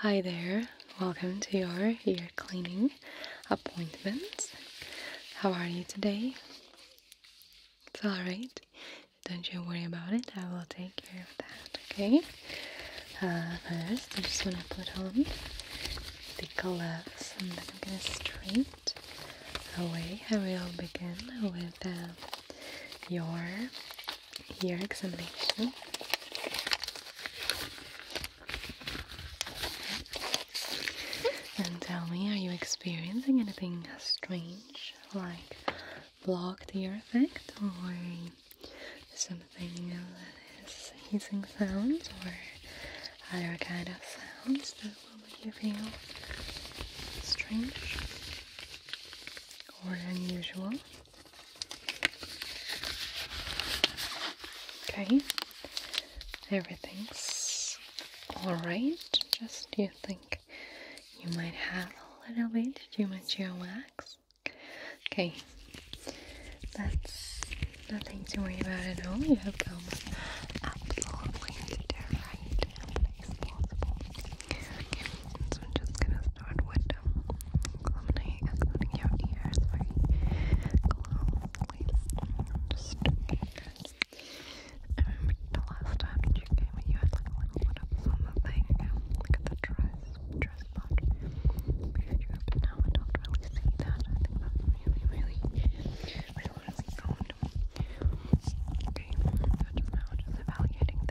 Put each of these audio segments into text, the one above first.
Hi there, welcome to your ear cleaning appointment. How are you today? It's alright, don't you worry about it, I will take care of that, okay? Uh, first, I just want to put on the gloves and then I'm gonna straight away. I will begin with um, your your examination. And tell me, are you experiencing anything strange, like blocked ear effect, or something that is hissing sounds, or other kind of sounds that make you feel strange or unusual? Okay, everything's all right. Just you think you might have a little bit too much your wax. Okay, that's nothing to worry about at all. You have come absolutely to right so I'm just gonna start with um, examining, examining your ears very closely. Just good. I remember the last time you came you had like a little bit of something, um, at the dress, dress part of your but now I don't really see that. I think that's really, really, really, really sound. Okay, so just now just evaluating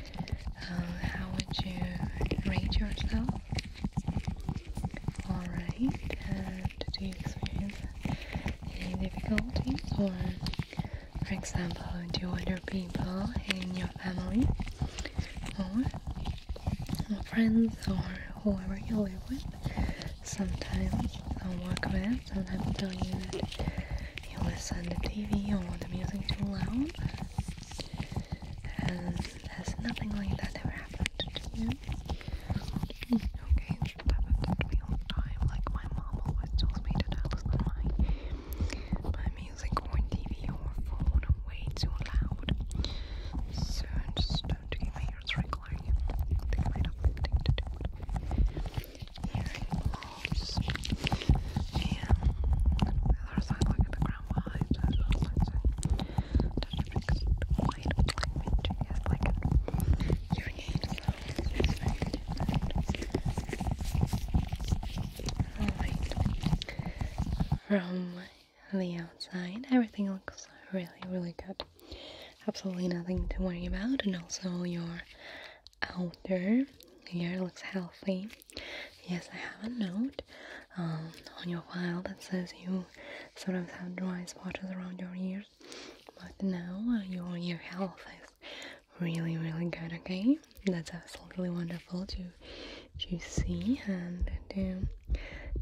Uh, how would you rate yourself? Alright, do you experience any difficulties or, for example, do other people in your family or friends or whoever you live with sometimes or work with sometimes tell you that you listen to TV or the music too loud? And there's nothing like that ever happened to you? Okay, it happens to me time. Like my mom always tells me to not listen to my, music or TV or phone way too loud. So I just don't do my ears regularly. I might have something to do with the other side, look at the ground. From the outside, everything looks really, really good. Absolutely nothing to worry about, and also your outer ear looks healthy. Yes, I have a note um, on your file that says you sort of have dry spots around your ears, but now uh, your health is really, really good. Okay, that's absolutely wonderful to to see and to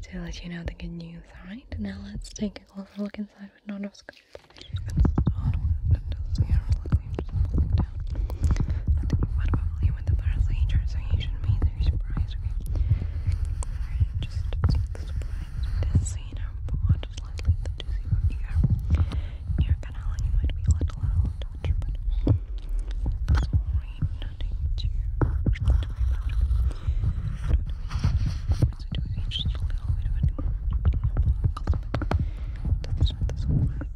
to let you know the good news. All right, now let's take a closer look inside with endoscope. And what probably with the first later, so you shouldn't be too surprised, okay? just this, so you just let the dizzy over here. Your canal, you might be a little out of touch, but sorry, nothing we do? It's just a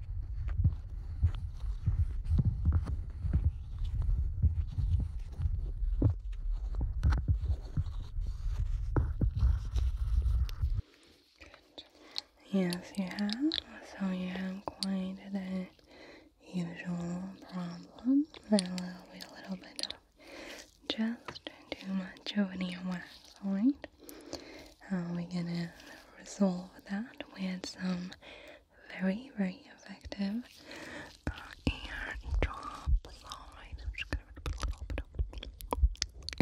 Yes, you have. So you have quite the usual problem. There will be a little bit of just too much of an earwax, alright? Uh, we're gonna resolve that with some very, very effective uh, airdrop line. I'm just gonna put a little bit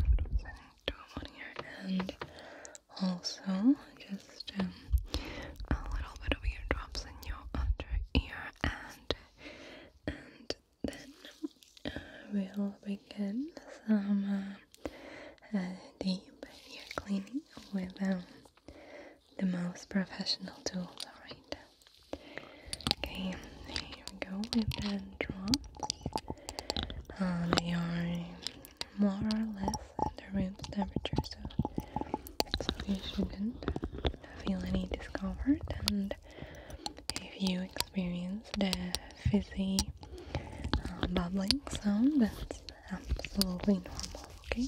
of airdrop on here and also just um, a little bit of eardrops in your under ear and and then uh, we'll begin some. Uh, uh, deep are cleaning with um, the most professional tools, alright? Okay, here we go with the drops. Uh, they are more or less at the room's temperature, so, so you shouldn't feel any discomfort. And if you experience the fizzy uh, bubbling sound that's absolutely normal okay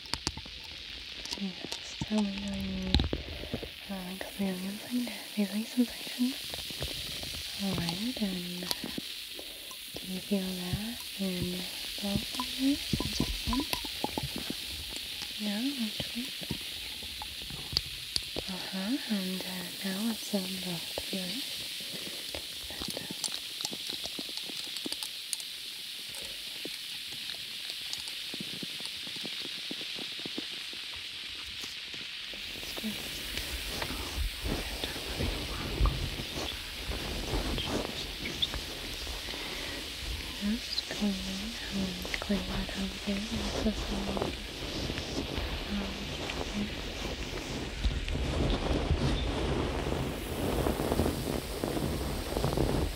369 uh, kameleon finder. Do you like sensation? Alright, and do you feel that in both of your Uh huh, and now it's on both of yours. Yes, clean and clean that over there. Also some water. Um, yeah.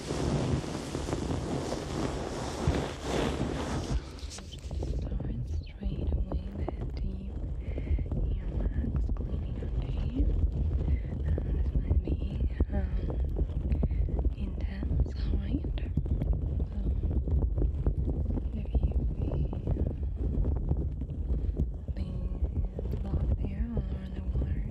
Start straight away with the earwax cleaning away. Um, this might be um, intense, hard. So if you be um, being locked there or the water,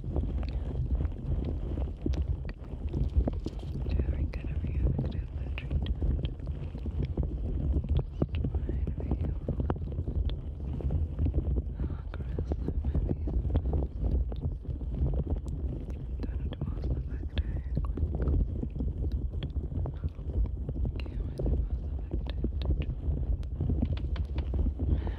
During kind of reactive treatment, just trying to be how aggressive maybe sometimes. Done it most of the day, quick. Can't really most of the day.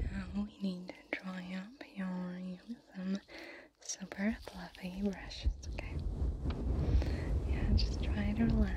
Now we need to dry up your super fluffy brushes, okay? Yeah, just try to relax.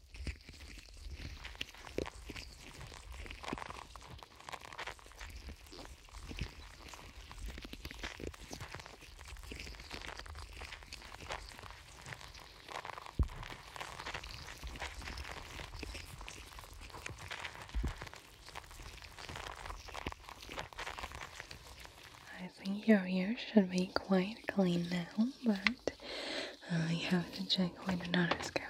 I think your ear should be quite clean now, but I uh, have to check with another scout.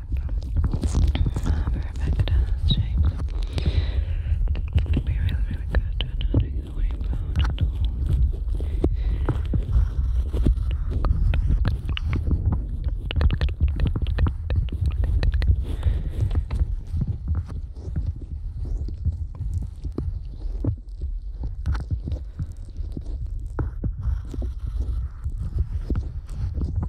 Um, Rebecca James. It'd be really, really good at not ignoring about at all. Good,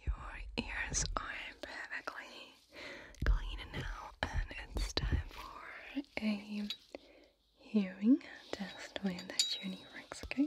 Your ears are perfectly clean now, and it's time for a hearing test to see if that the works. okay?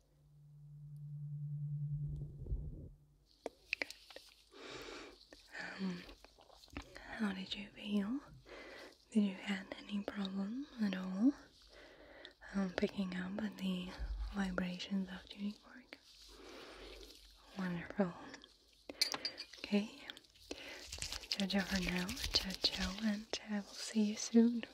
Um, how did you feel? Did you have any problem at all um, picking up the vibrations of tuning fork? Wonderful. Okay. Jojo for now. Jojo, and I will see you soon.